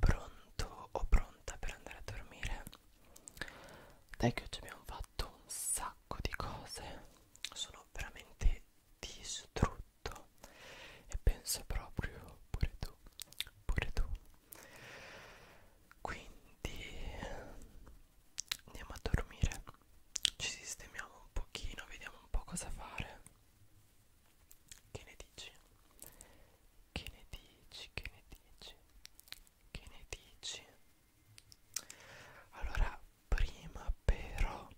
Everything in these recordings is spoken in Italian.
Pronto o pronta per andare a dormire? Dai che oggi abbiamo fatto un sacco di cose, sono veramente distrutto e penso proprio pure tu, pure tu quindi andiamo a dormire ci sistemiamo un pochino vediamo un po' cosa fare che ne dici che ne dici che ne dici che ne dici allora prima però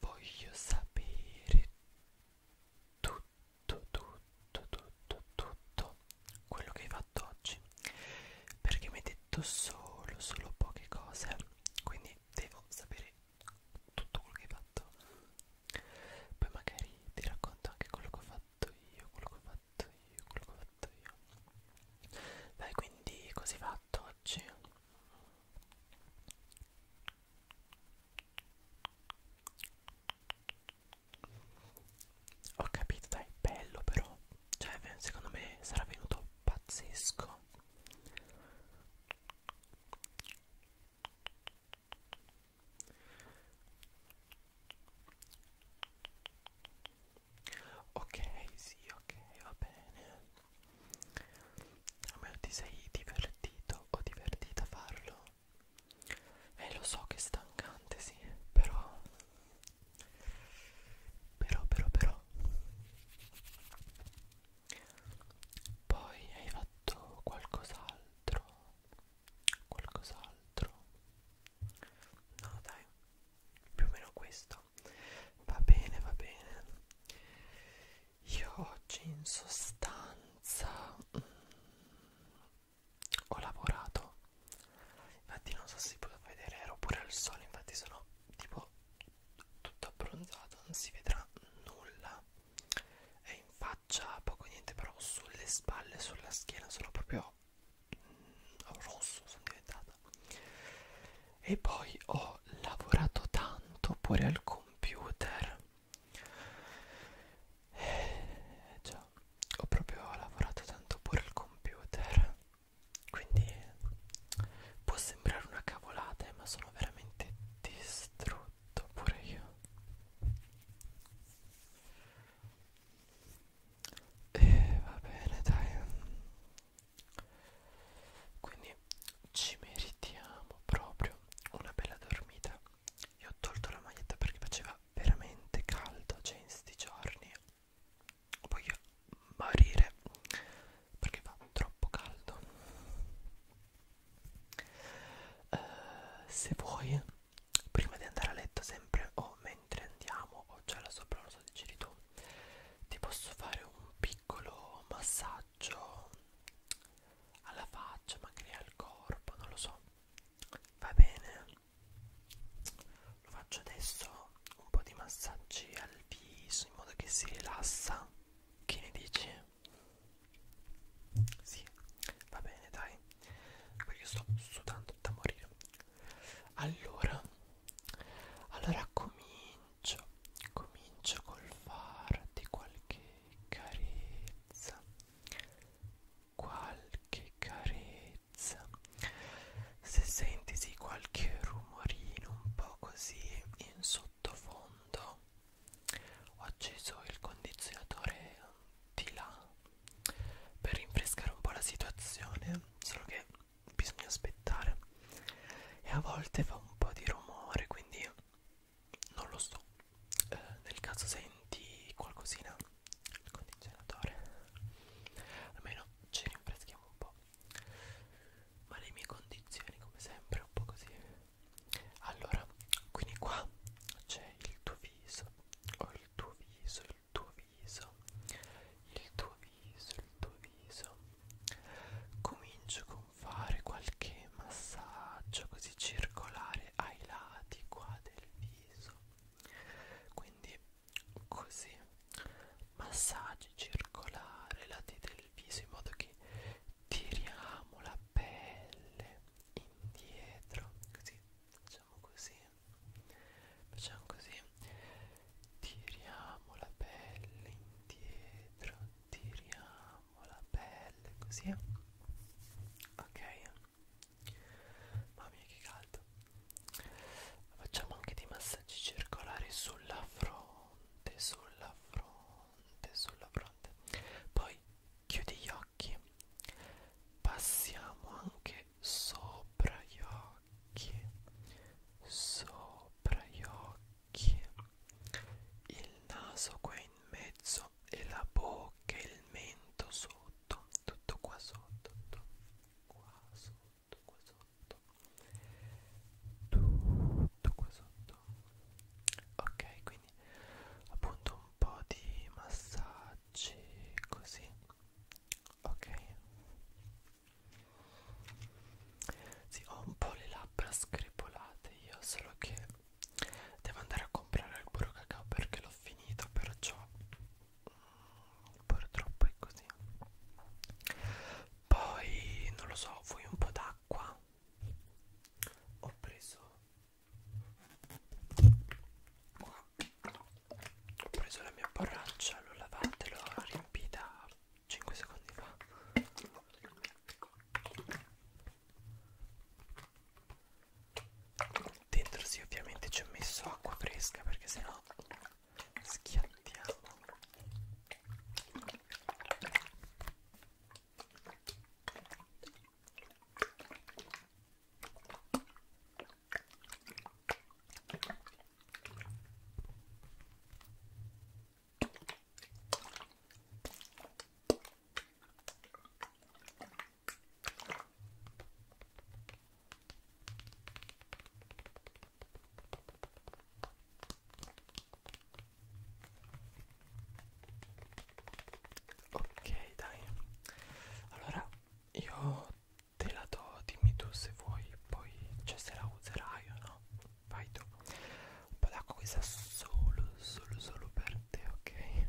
voglio sapere tutto tutto tutto tutto quello che hai fatto fatto oggi perché mi ha detto solo solo poche cose quindi devo sapere tutto quello che hai fatto poi magari ti racconto anche quello che ho fatto io quello che ho fatto io quello che ho fatto io dai quindi così fatto oggi ho capito, dai, bello però. Cioè, secondo me sarà venuto pazzesco. Ok, sì, ok, va bene. Almeno ti sei divertito o divertita a farlo? Eh, lo so che è stancante, sì, però però, però, però. Poi hai fatto qualcos'altro. Qualcos'altro. No, dai. Più o meno questo. Va bene, va bene. Io oggi in sostanza mm, ho lavorato infatti non so se si può vedere ero pure al sole infatti sono tipo tutto abbronzato non si vedrà nulla è in faccia poco niente però sulle spalle sulla schiena sono proprio mm, rosso sono diventata e poi ho lavorato tanto pure al computer eh, già ho proprio lavorato tanto pure il computer quindi può sembrare una cavolata ma sono veramente distrutto pure io e va bene dai quindi ci meritiamo proprio una bella dormita io ho tolto la maglietta perché faceva veramente caldo cioè in sti giorni voglio morire perché fa troppo caldo uh, se vuoi prima di andare a letto sempre o mentre andiamo o già la sopra lo so decidi tu ti posso fare un piccolo massaggio alla faccia magari al corpo non lo so va bene lo faccio adesso un po' di massaggi al viso in modo che si rilassa che ne dici? Sì, va bene dai, perché sto sudando da morire. Allora, allora comincio, comincio col farti qualche carezza qualche carezza se senti sì, qualche rumorino un po' così in sottofondo ho acceso il condizionatore di là per rinfrescare un po' la situazione solo che bisogna aspettare e a volte fa un po' di rumore quindi non lo so eh, nel caso senti qualcosina il condizionatore almeno ci rinfreschiamo un po' ma le mie condizioni come sempre un po' così allora quindi qua c'è il tuo viso o il tuo viso il tuo viso il tuo viso il tuo viso comincio con fare qualche massaggio così circolare ai lati qua del viso quindi così massaggi circolari lati del viso in modo che tiriamo la pelle indietro così facciamo così facciamo così tiriamo la pelle indietro tiriamo la pelle così ok Mamma mia che caldo Ma Facciamo anche dei massaggi circolari sulla fronte Sulla fronte Sulla fronte Poi chiudi gli occhi Passiamo anche sopra gli occhi Sopra gli occhi Il naso qua in mezzo e la bocca e il mento sotto tutto qua sotto tutto qua sotto qua sotto tutto qua sotto ok quindi appunto un po' di massaggi così ok sì, ho un po' le labbra scripolate io solo che devo andare a comprare il burro cacao perché l'ho finito perciò purtroppo è così poi non lo so vuoi un po' d'acqua ho preso qua ho preso la mia borraccia l'ho lavata l'ho riempita 5 secondi fa dentro sì ovviamente ci ho messo acqua fresca perché sennò schiattiamo Ok, dai. Allora io te la do, dimmi tu se vuoi, poi cioè se la userai o no. Vai tu. Un po' d'acqua questa solo, solo, solo per te, ok?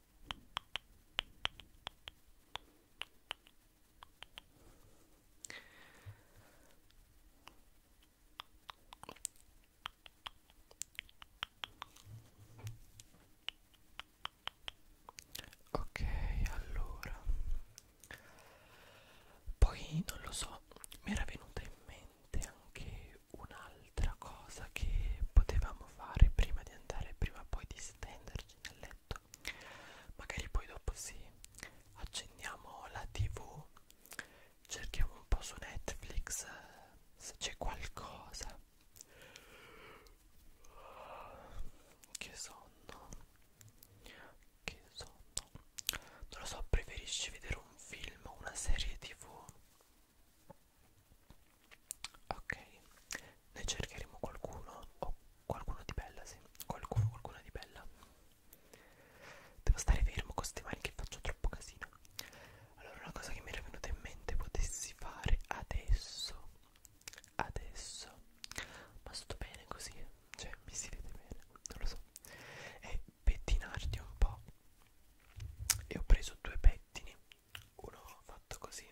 Ok, allora poi non lo so, mi era venuta in mente anche una Altra cosa che potevamo fare prima di andare, prima poi di stenderci nel letto, magari poi dopo sì, accendiamo la tv, cerchiamo un po' su Netflix se c'è qualcosa. Che sonno, che sonno. Non lo so, preferisci vedere un film o una serie tv? ok ne cercheremo qualcuno o oh, qualcuno di bella sì qualcuno qualcuna di bella devo stare fermo con ste mani che faccio troppo casino allora una cosa che mi era venuta in mente potessi fare adesso adesso ma sto bene così cioè mi si vede bene non lo so è pettinarti un po' e ho preso due pettini uno fatto così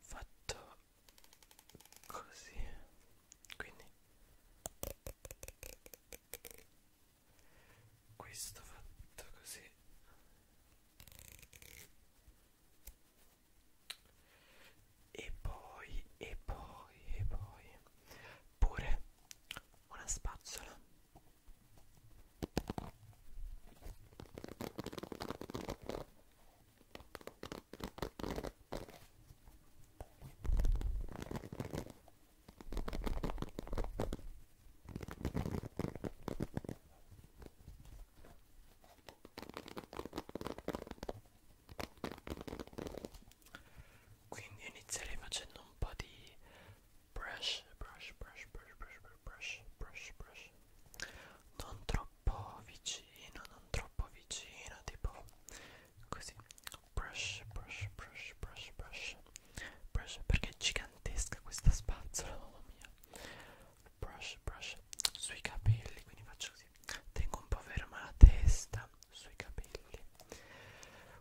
fatto così quindi questo fatto così e poi e poi e poi pure una spazzola quindi inizierei facendo un po' di brush, brush, brush, brush, brush, brush, brush, brush. Non troppo vicino, non troppo vicino, tipo così. Brush, brush, brush, brush, brush. Brush perché è gigantesca questa spazzola, mamma mia brush brush sui capelli quindi faccio così tengo un po' ferma la testa sui capelli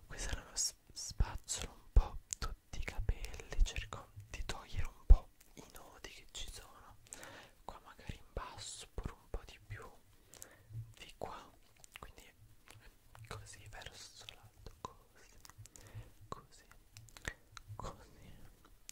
questa è una spazzola un po' tutti i capelli cerco di togliere un po' i nodi che ci sono qua magari in basso pure un po' di più di qua quindi così verso l'alto così così così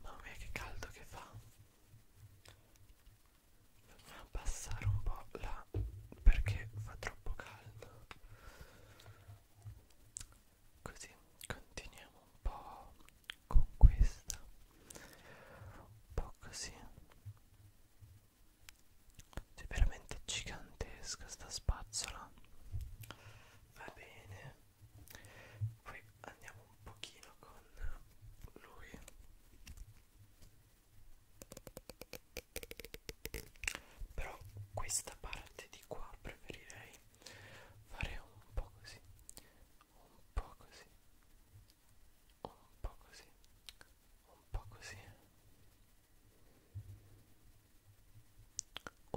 Mamma mia che caldo che fa Dobbiamo abbassare un po' là perché fa troppo caldo Così continuiamo un po' con questa un po' così è cioè, veramente gigantesca sta spazzola va bene poi andiamo un pochino con lui però questa parte di qua preferirei fare un po' così un po' così, un po' così, un po' così, un po' così,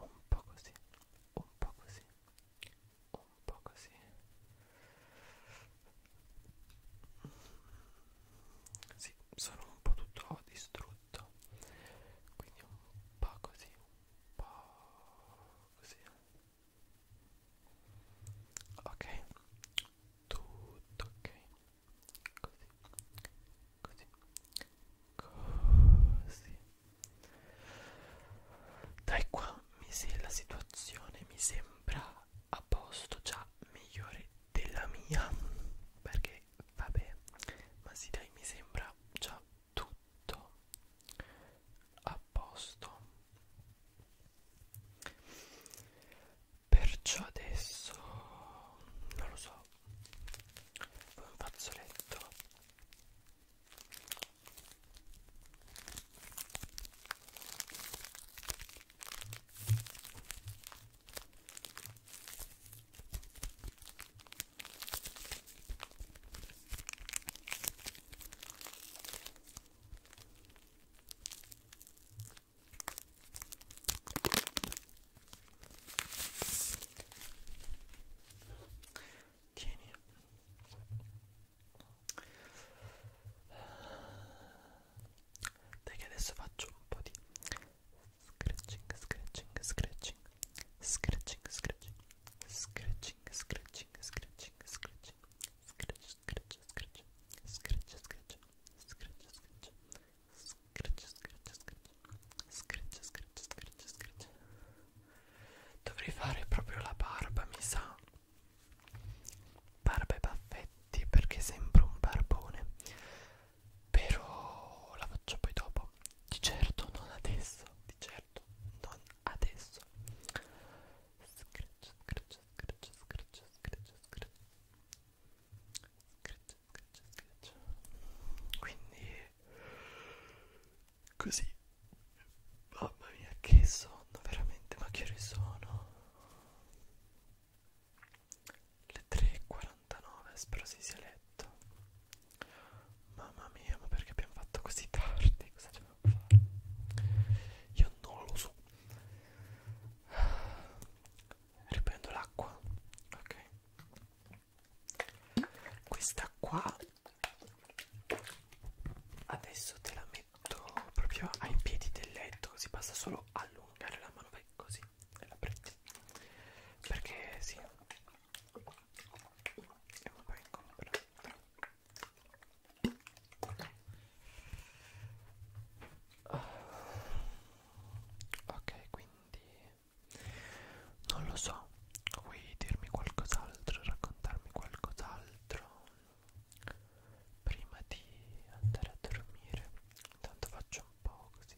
un po' così, un po' così. Sì, sono un po' tutto distrutto, quindi un po' così, un po' così. Un ok tutto ok così così così dai qua mi se la situazione mi sembra a posto già migliore della mia perché vabbè ma sì dai mi sembra già tutto a posto perciò adesso non lo so un fazzoletto Tieni. Dai che adesso faccio un po' di scratching, scratching, scratching, scratching, scratching, scratching, scratching, scratching, scratching, scratching, scratch, scratch, scratch, scratch, scratch, scratch, scratch, scratch, scratch, scratch, scratch, scratch. Dovrei fare proprio la barba, mi sa. Barba e baffetti perché sembro un barbone. Però la faccio poi dopo. Di certo non adesso, di certo non adesso scratch scratch scratch scratch scratch scratch scratch scratch scratch quindi così mamma mia che sonno veramente ma che ore sono le 3.49 spero si sia letto mamma mia ma perché abbiamo fatto così tardi cosa ci io non lo so riprendo l'acqua ok questa qua adesso te la metto proprio ai piedi del letto così basta solo allungare la mano così e la prendi perché sì è un po' incomodo Ok, quindi non lo so, vuoi dirmi qualcos'altro, raccontarmi qualcos'altro prima di andare a dormire? Intanto faccio un po' così.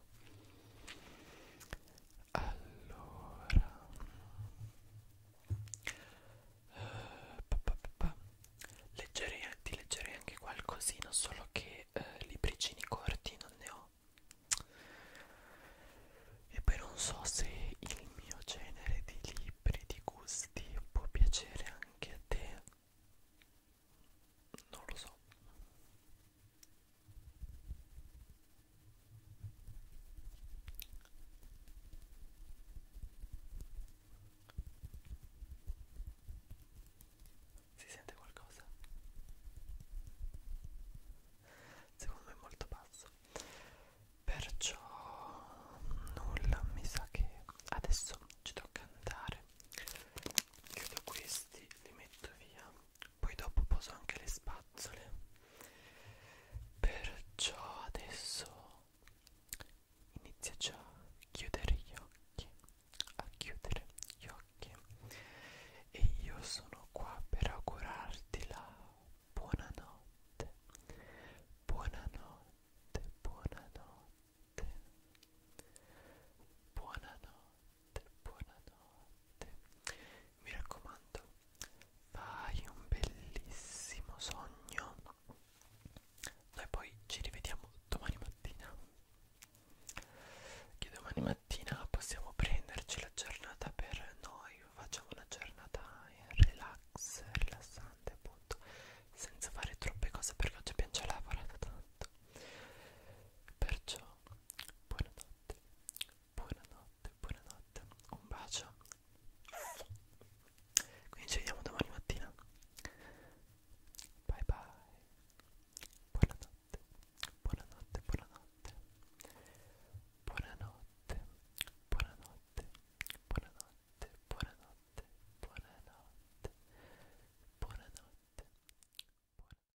allora eh, pa, pa, pa. Leggerei, ti leggerei anche qualcosina solo che eh, libricini corti non ne ho e poi non so se il mio genere di libri di gusti può piacere anche a te non lo so si sente qualcosa? Secondo me è molto basso. Perciò nulla, mi sa che adesso ci tocca andare. Chiudo questi, li metto via poi dopo poso anche le spazzole perciò adesso inizia già a chiudere gli occhi a chiudere gli occhi e io sono qua per augurarti la buonanotte buonanotte buonanotte buonanotte buonanotte mi raccomando fai un bellissimo sogno noi poi ci rivediamo domani mattina che domani mattina possiamo prenderci la giornata per noi facciamo una giornata in relax rilassante appunto senza fare troppe cose perché oggi abbiamo già lavorato tanto perciò buonanotte buonanotte, buonanotte, buonanotte, un bacio. Quindi ci vediamo domani mattina. Bye bye. Buonanotte, buonanotte, buonanotte. Buonanotte, buonanotte, buonanotte, buonanotte, buonanotte, buonanotte. buonanotte.